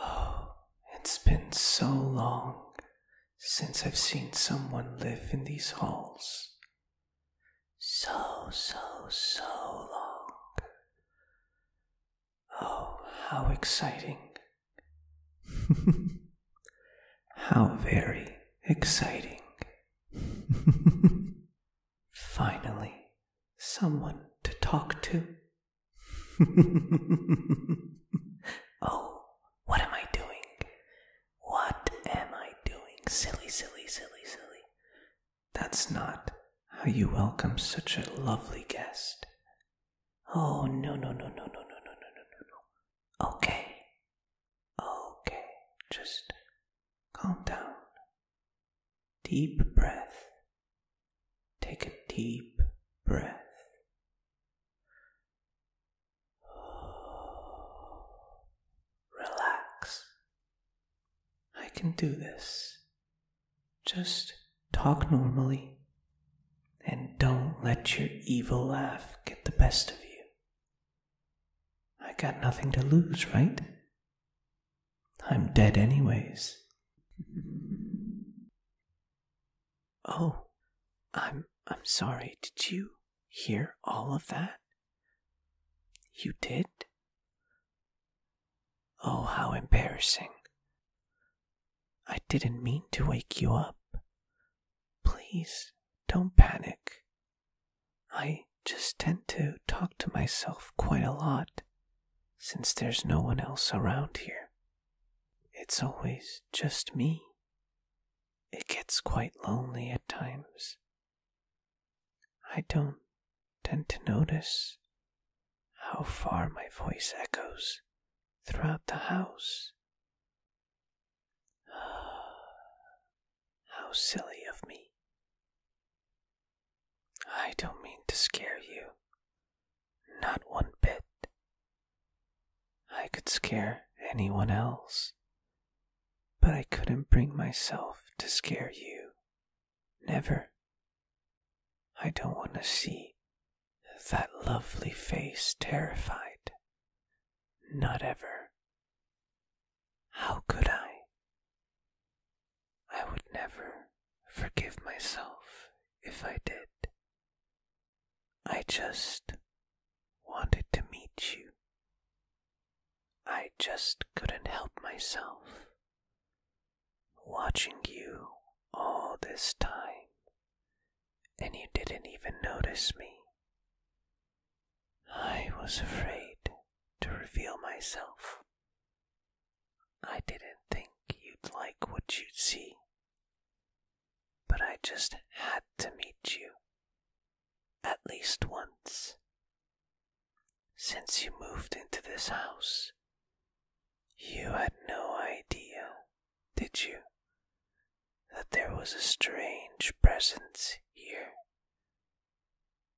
oh, it's been so long since I've seen someone live in these halls. So, so, so long. Oh, how exciting how very exciting. Finally, someone to talk to. oh, what am I doing? What am I doing? Silly, silly, silly, silly. That's not how you welcome such a lovely guest Oh, no, no, no, no, no, no, no, no, no, no. Okay. Okay. Just calm down. Deep breath. Take a deep breath. Relax. I can do this. Just talk normally and don't let your evil laugh get the best of you. I got nothing to lose, right? I'm dead, anyways. Oh, I'm I'm sorry. Did you hear all of that? You did? Oh, how embarrassing. I didn't mean to wake you up. Please don't panic. I just tend to talk to myself quite a lot since there's no one else around here. It's always just me. It gets quite lonely at times. I don't tend to notice how far my voice echoes throughout the house. How silly of me. I don't mean to scare you. Not one bit. I could scare anyone else, but I couldn't bring myself to scare you. Never. I don't want to see that lovely face terrified. Not ever. How could I? I would never forgive myself if I did. I just wanted to meet you. I just couldn't help myself watching you all this time, and you didn't even notice me. I was afraid to reveal myself. I didn't think you'd like what you'd see, but I just had to meet you at least once. Since you moved into this house, you had no idea, did you, that there was a strange presence here?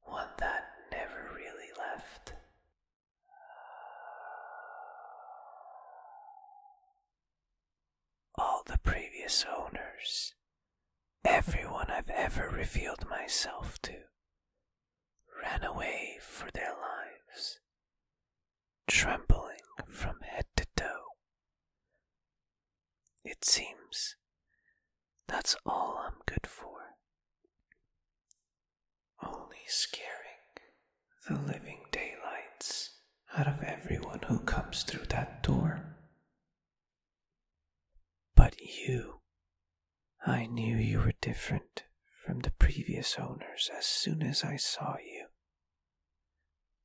One that never really left. All the previous owners, everyone I've ever revealed myself to, ran away for their lives, trembling from head to toe. It seems that's all I'm good for. Only scaring the living daylights out of everyone who comes through that door. But you I knew you were different from the previous owners as soon as I saw you.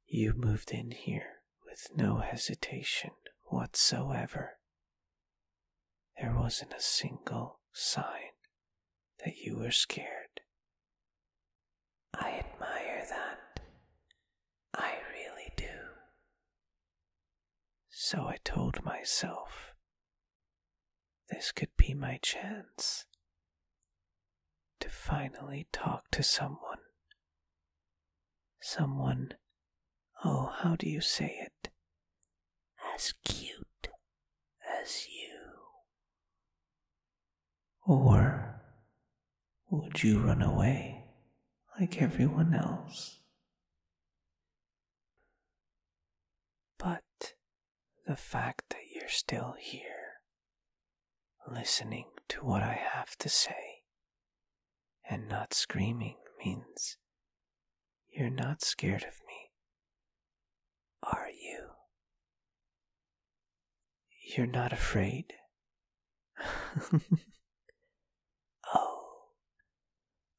You moved in here with no hesitation whatsoever. There wasn't a single sign that you were scared. I admire that. I really do. So I told myself this could be my chance to finally talk to someone. Someone, oh, how do you say it? As cute as you. Or would you run away like everyone else? But the fact that you're still here, listening to what I have to say, and not screaming means you're not scared of me, are you? You're not afraid? Oh,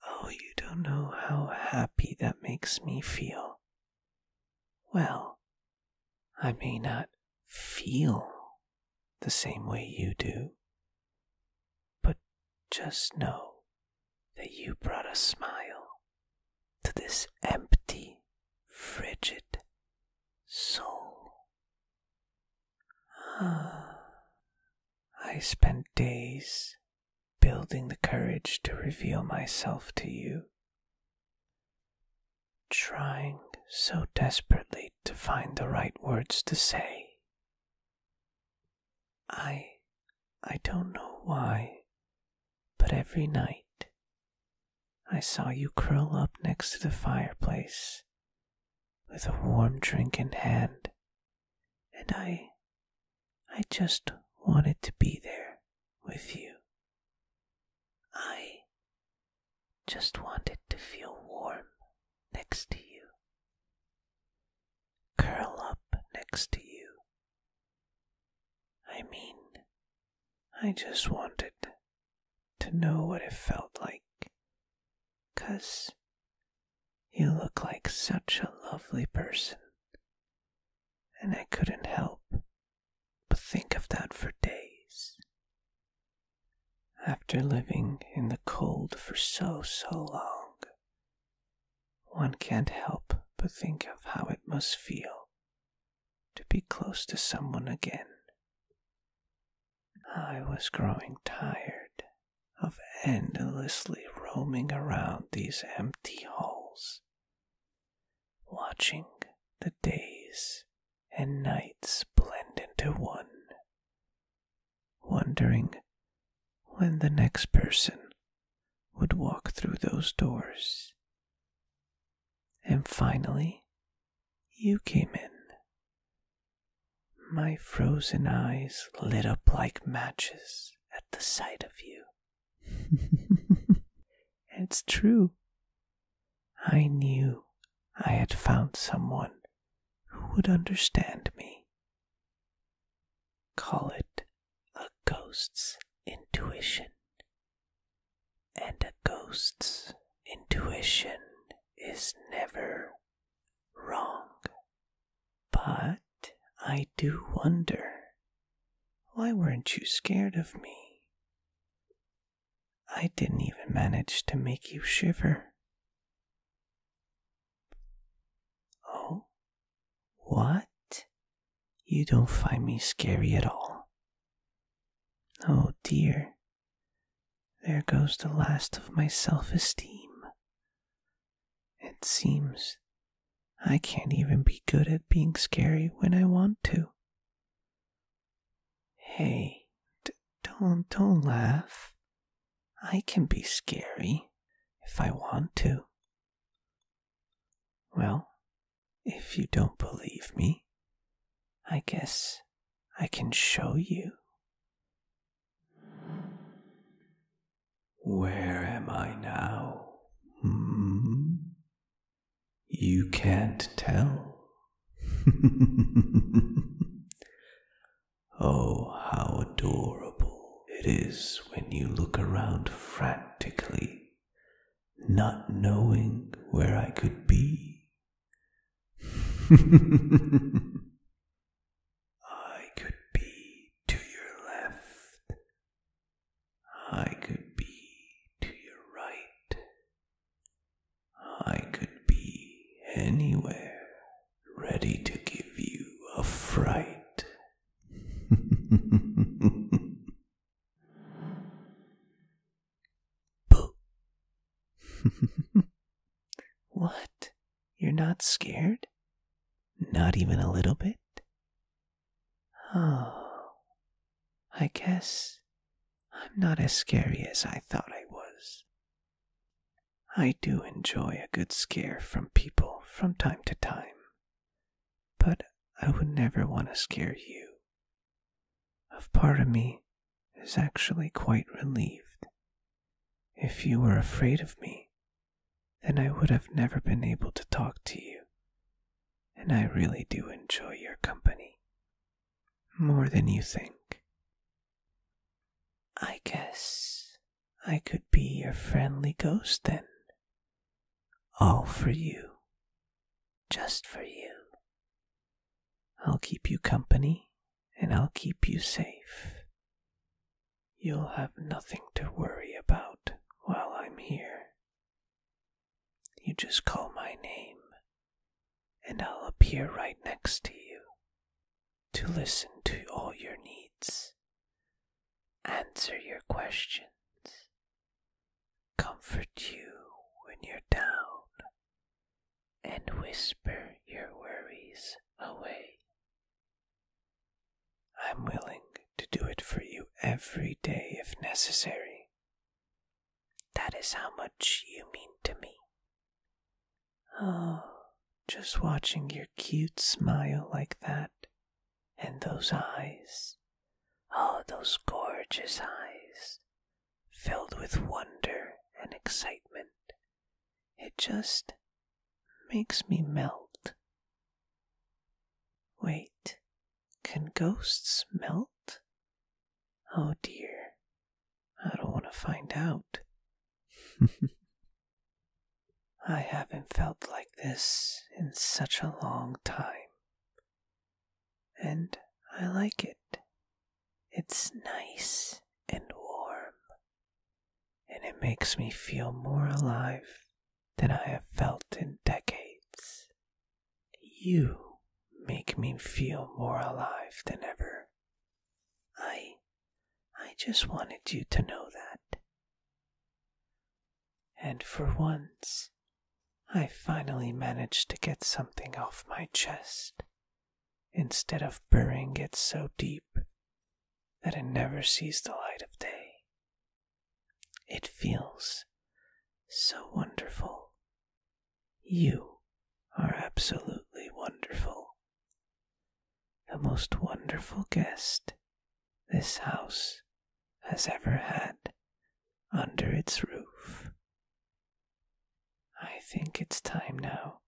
oh, you don't know how happy that makes me feel. Well, I may not feel the same way you do, but just know that you brought a smile to this empty, frigid soul. Ah, I spent days building the courage to reveal myself to you. Trying so desperately to find the right words to say. I. I don't know why, but every night I saw you curl up next to the fireplace with a warm drink in hand, and I. I just wanted to be there with you. I just wanted to feel warm next to you, curl up next to you. I mean, I just wanted to know what it felt like, 'cause you look like such a lovely person. And I couldn't help but think of that for days. After living in the cold for so, so long, one can't help but think of how it must feel to be close to someone again. I was growing tired of endlessly roaming around these empty halls, watching the days and nights blend into one, wondering when the next person would walk through those doors. And finally, you came in my frozen eyes lit up like matches at the sight of you. it's true. I knew I had found someone who would understand me. Call it a ghost's intuition. And a ghost's intuition is never wrong. But I do wonder why weren't you scared of me? I didn't even manage to make you shiver. Oh, what? You don't find me scary at all. Oh dear, there goes the last of my self esteem. It seems I can't even be good at being scary when I want to. Hey, don't don't laugh. I can be scary if I want to. Well, if you don't believe me, I guess I can show you. Where am I now? Hmm? You can't tell. oh, how adorable it is when you look around frantically, not knowing where I could be. I could be to your left. I could be to your right. I could be anywhere, ready to give you a fright. Boo. what? You're not scared? Not even a little bit? Oh, I guess I'm not as scary as I thought I was. I do enjoy a good scare from people from time to time, but I would never want to scare you of part of me is actually quite relieved. If you were afraid of me, then I would have never been able to talk to you, and I really do enjoy your company more than you think. I guess I could be your friendly ghost then, all for you, just for you. I'll keep you company and I'll keep you safe. You'll have nothing to worry about while I'm here. You just call my name and I'll appear right next to you to listen to all your needs, answer your questions, comfort you when you're down, and whisper your worries away. I'm willing to do it for you every day if necessary. That is how much you mean to me. Oh, just watching your cute smile like that, and those eyes. Oh, those gorgeous eyes filled with wonder and excitement. It just makes me melt. Wait, can ghosts melt? Oh dear, I don't want to find out. I haven't felt like this in such a long time and I like it. It's nice and warm, and it makes me feel more alive than I have felt in decades. You make me feel more alive than ever. I I just wanted you to know that. And for once, I finally managed to get something off my chest instead of burying it so deep that it never sees the light of day. It feels so wonderful. You are absolutely wonderful. The most wonderful guest this house has ever had under its roof. I think it's time now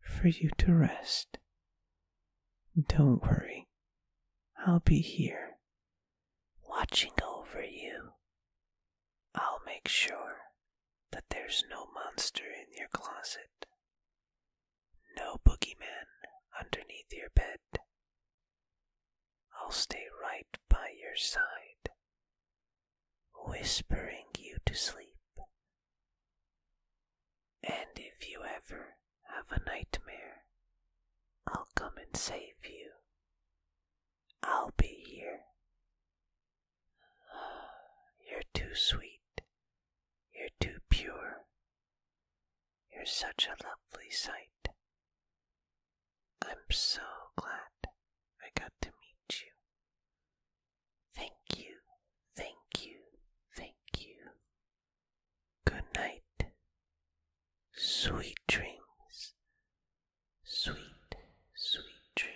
for you to rest. Don't worry, I'll be here, watching over you. I'll make sure that there's no monster in your closet, no boogeyman underneath your bed. I'll stay right by your side, whispering you to sleep. And if you ever have a nightmare, I'll come and save you. I'll be here. You're too sweet. You're too pure. You're such a lovely sight. I'm so glad I got to meet you. Thank you, thank you, thank you. Good night. Sweet dreams. Sweet, sweet dreams.